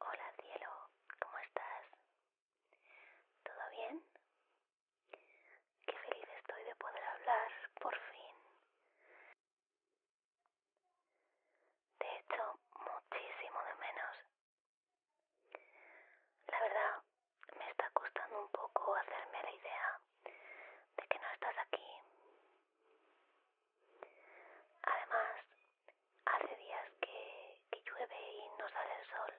Hola cielo, ¿cómo estás? ¿Todo bien? Qué feliz estoy de poder hablar, por fin. De hecho, muchísimo de menos. La verdad, me está costando un poco hacerme la idea de que no estás aquí. Además, hace días que llueve y no sale el sol.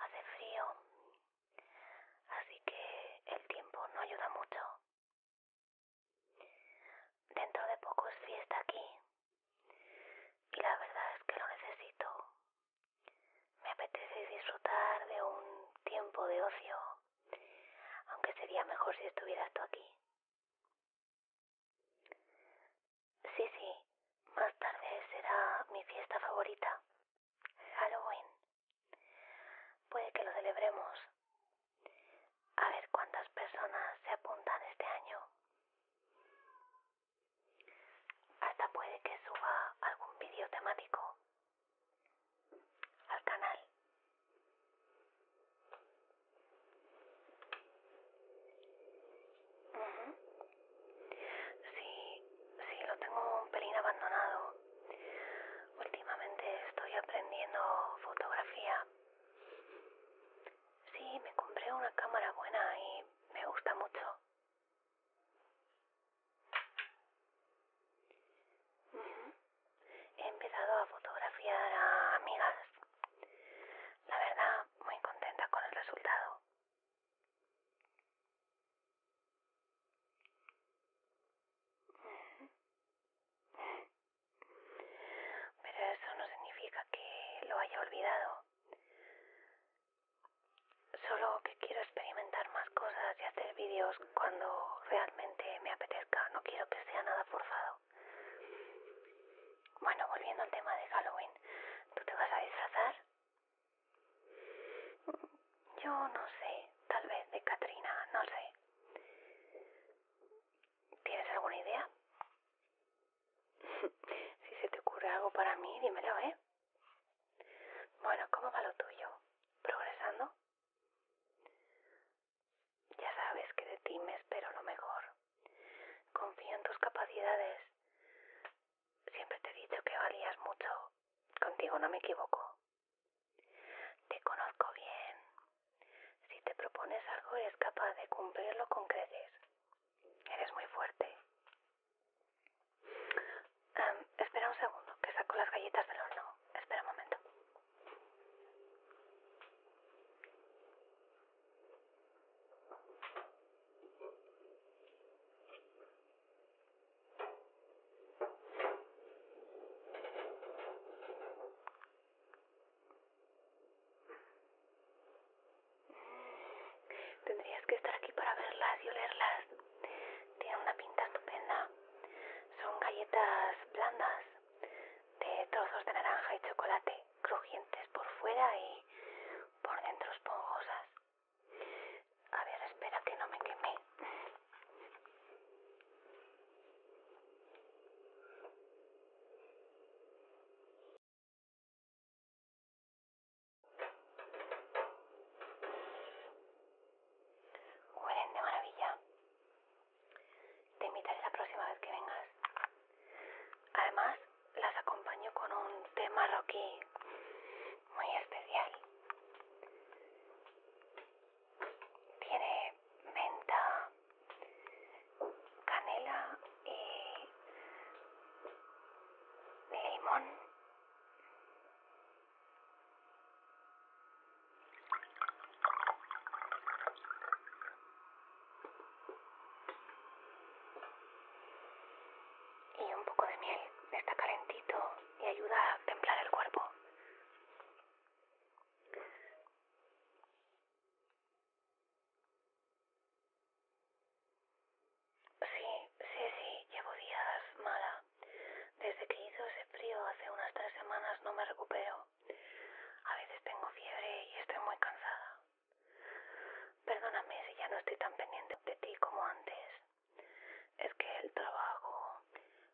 Hace frío, así que el tiempo no ayuda mucho. Dentro de poco es fiesta aquí y la verdad es que lo necesito. Me apetece disfrutar de un tiempo de ocio, aunque sería mejor si estuvieras tú aquí. Sí, sí, más tarde será mi fiesta favorita, Halloween. Puede que lo celebremos. A ver cuántas personas se apuntan este año. Hasta puede que suba algún vídeo temático al canal. Sí, sí, lo tengo un pelín abandonado. Últimamente estoy aprendiendo fotografía. Sí, me compré una cámara buena y me gusta mucho. He empezado a fotografiar a amigas. La verdad, muy contenta con el resultado. Pero eso no significa que lo haya olvidado. Solo que quiero experimentar más cosas y hacer vídeos cuando realmente me apetezca. No quiero que sea nada forzado. Bueno, volviendo al tema de Halloween, ¿tú te vas a disfrazar? Yo no sé, tal vez de Katrina, no sé. ¿Tienes alguna idea? si se te ocurre algo para mí, dímelo, ¿eh? Bueno, ¿cómo va lo tuyo? ¿Progresando? Ya sabes que de ti me espero lo mejor. Confío en tus capacidades. Siempre te he dicho que valías mucho. Contigo no me equivoco. Te conozco bien. Si te propones algo eres capaz de cumplirlo con creces. Eres muy fuerte. espera un segundo, que saco las galletas del horno. Espera un momento. Tendrías que estar aquí para verlas y olerlas. Tienen una pinta estupenda. Son galletas blandas de trozos de naranja y chocolate, crujientes por fuera y por dentro esponjosas. A ver, espera que no me quemé. Huelen de maravilla. Te invitaré la próxima vez que vengas. Además, las acompaño con un té marroquí muy especial. Tiene menta, canela y limón. Y un poco de miel, está calentito y ayuda a templar el cuerpo. Sí, sí, sí, llevo días mala. Desde que hizo ese frío hace unas tres semanas no me recupero. A veces tengo fiebre y estoy muy cansada. Perdóname si ya no estoy tan pendiente de ti como antes. Es que el trabajo,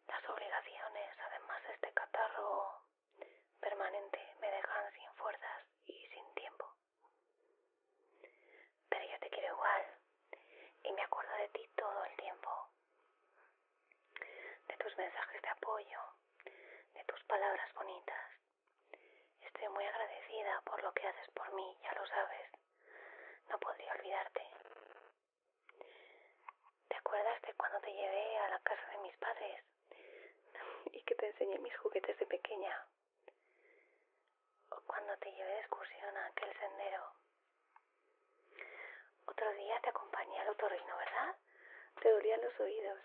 las obligaciones, además de este catarro permanente, me dejan sin fuerzas y sin tiempo. Pero yo te quiero igual y me acuerdo de ti todo el tiempo. De tus mensajes de apoyo, de tus palabras bonitas, Estoy muy agradecida por lo que haces por mí, ya lo sabes. No podría olvidarte. ¿Te acuerdas de cuando te llevé a la casa de mis padres y que te enseñé mis juguetes de pequeña? ¿O cuando te llevé de excursión a aquel sendero? Otro día te acompañé al reino, ¿verdad? Te dolían los oídos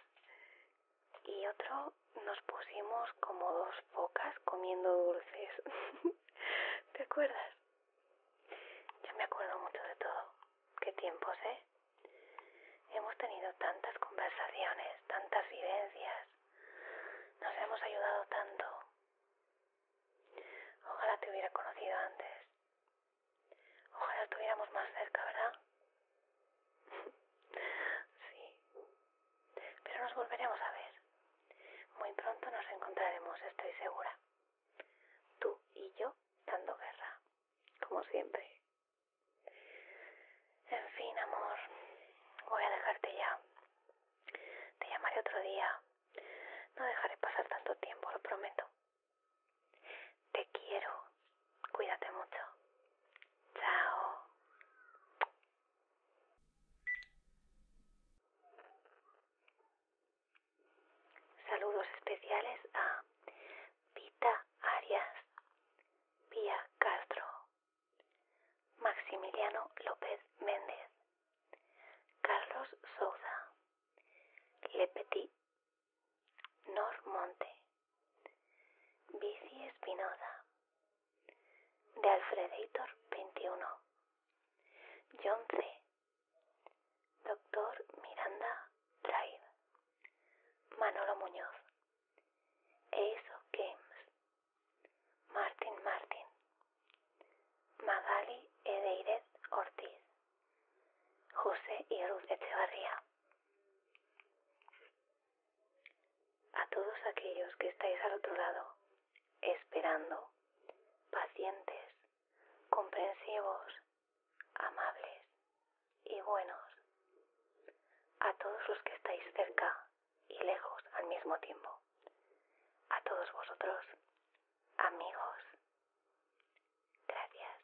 y otro nos pusimos como dos pocas comiendo dulces. ¿Te acuerdas? Yo me acuerdo mucho de todo. Qué tiempos, ¿eh? Hemos tenido tantas conversaciones, tantas vivencias. Nos hemos ayudado tanto. Ojalá te hubiera conocido antes. Ojalá estuviéramos más cerca, ¿verdad? Sí. Pero nos volveremos a ver. Muy pronto nos encontraremos, estoy segura. Tú y yo dando guerra, como siempre. En fin, amor, voy a dejarte ya. Te llamaré otro día. No dejaré pasar tanto tiempo, lo prometo. Te quiero. Cuídate mucho. Chao. Saludos especiales a Vita Arias, Pia Castro, Maximiliano López Méndez, Carlos Souza, Le Petit, Nor Monte. Bici Espinosa, de Alfreditor 21, John C. Doctor Miranda Drive, Manolo Muñoz, ESO Games, Martin Martin, Magali Edeirez Ortiz, José y Ruth Echevarría. A todos aquellos que estáis al otro lado, esperando, pacientes, comprensivos, amables y buenos. A todos los que estáis cerca y lejos al mismo tiempo. A todos vosotros, amigos. Gracias.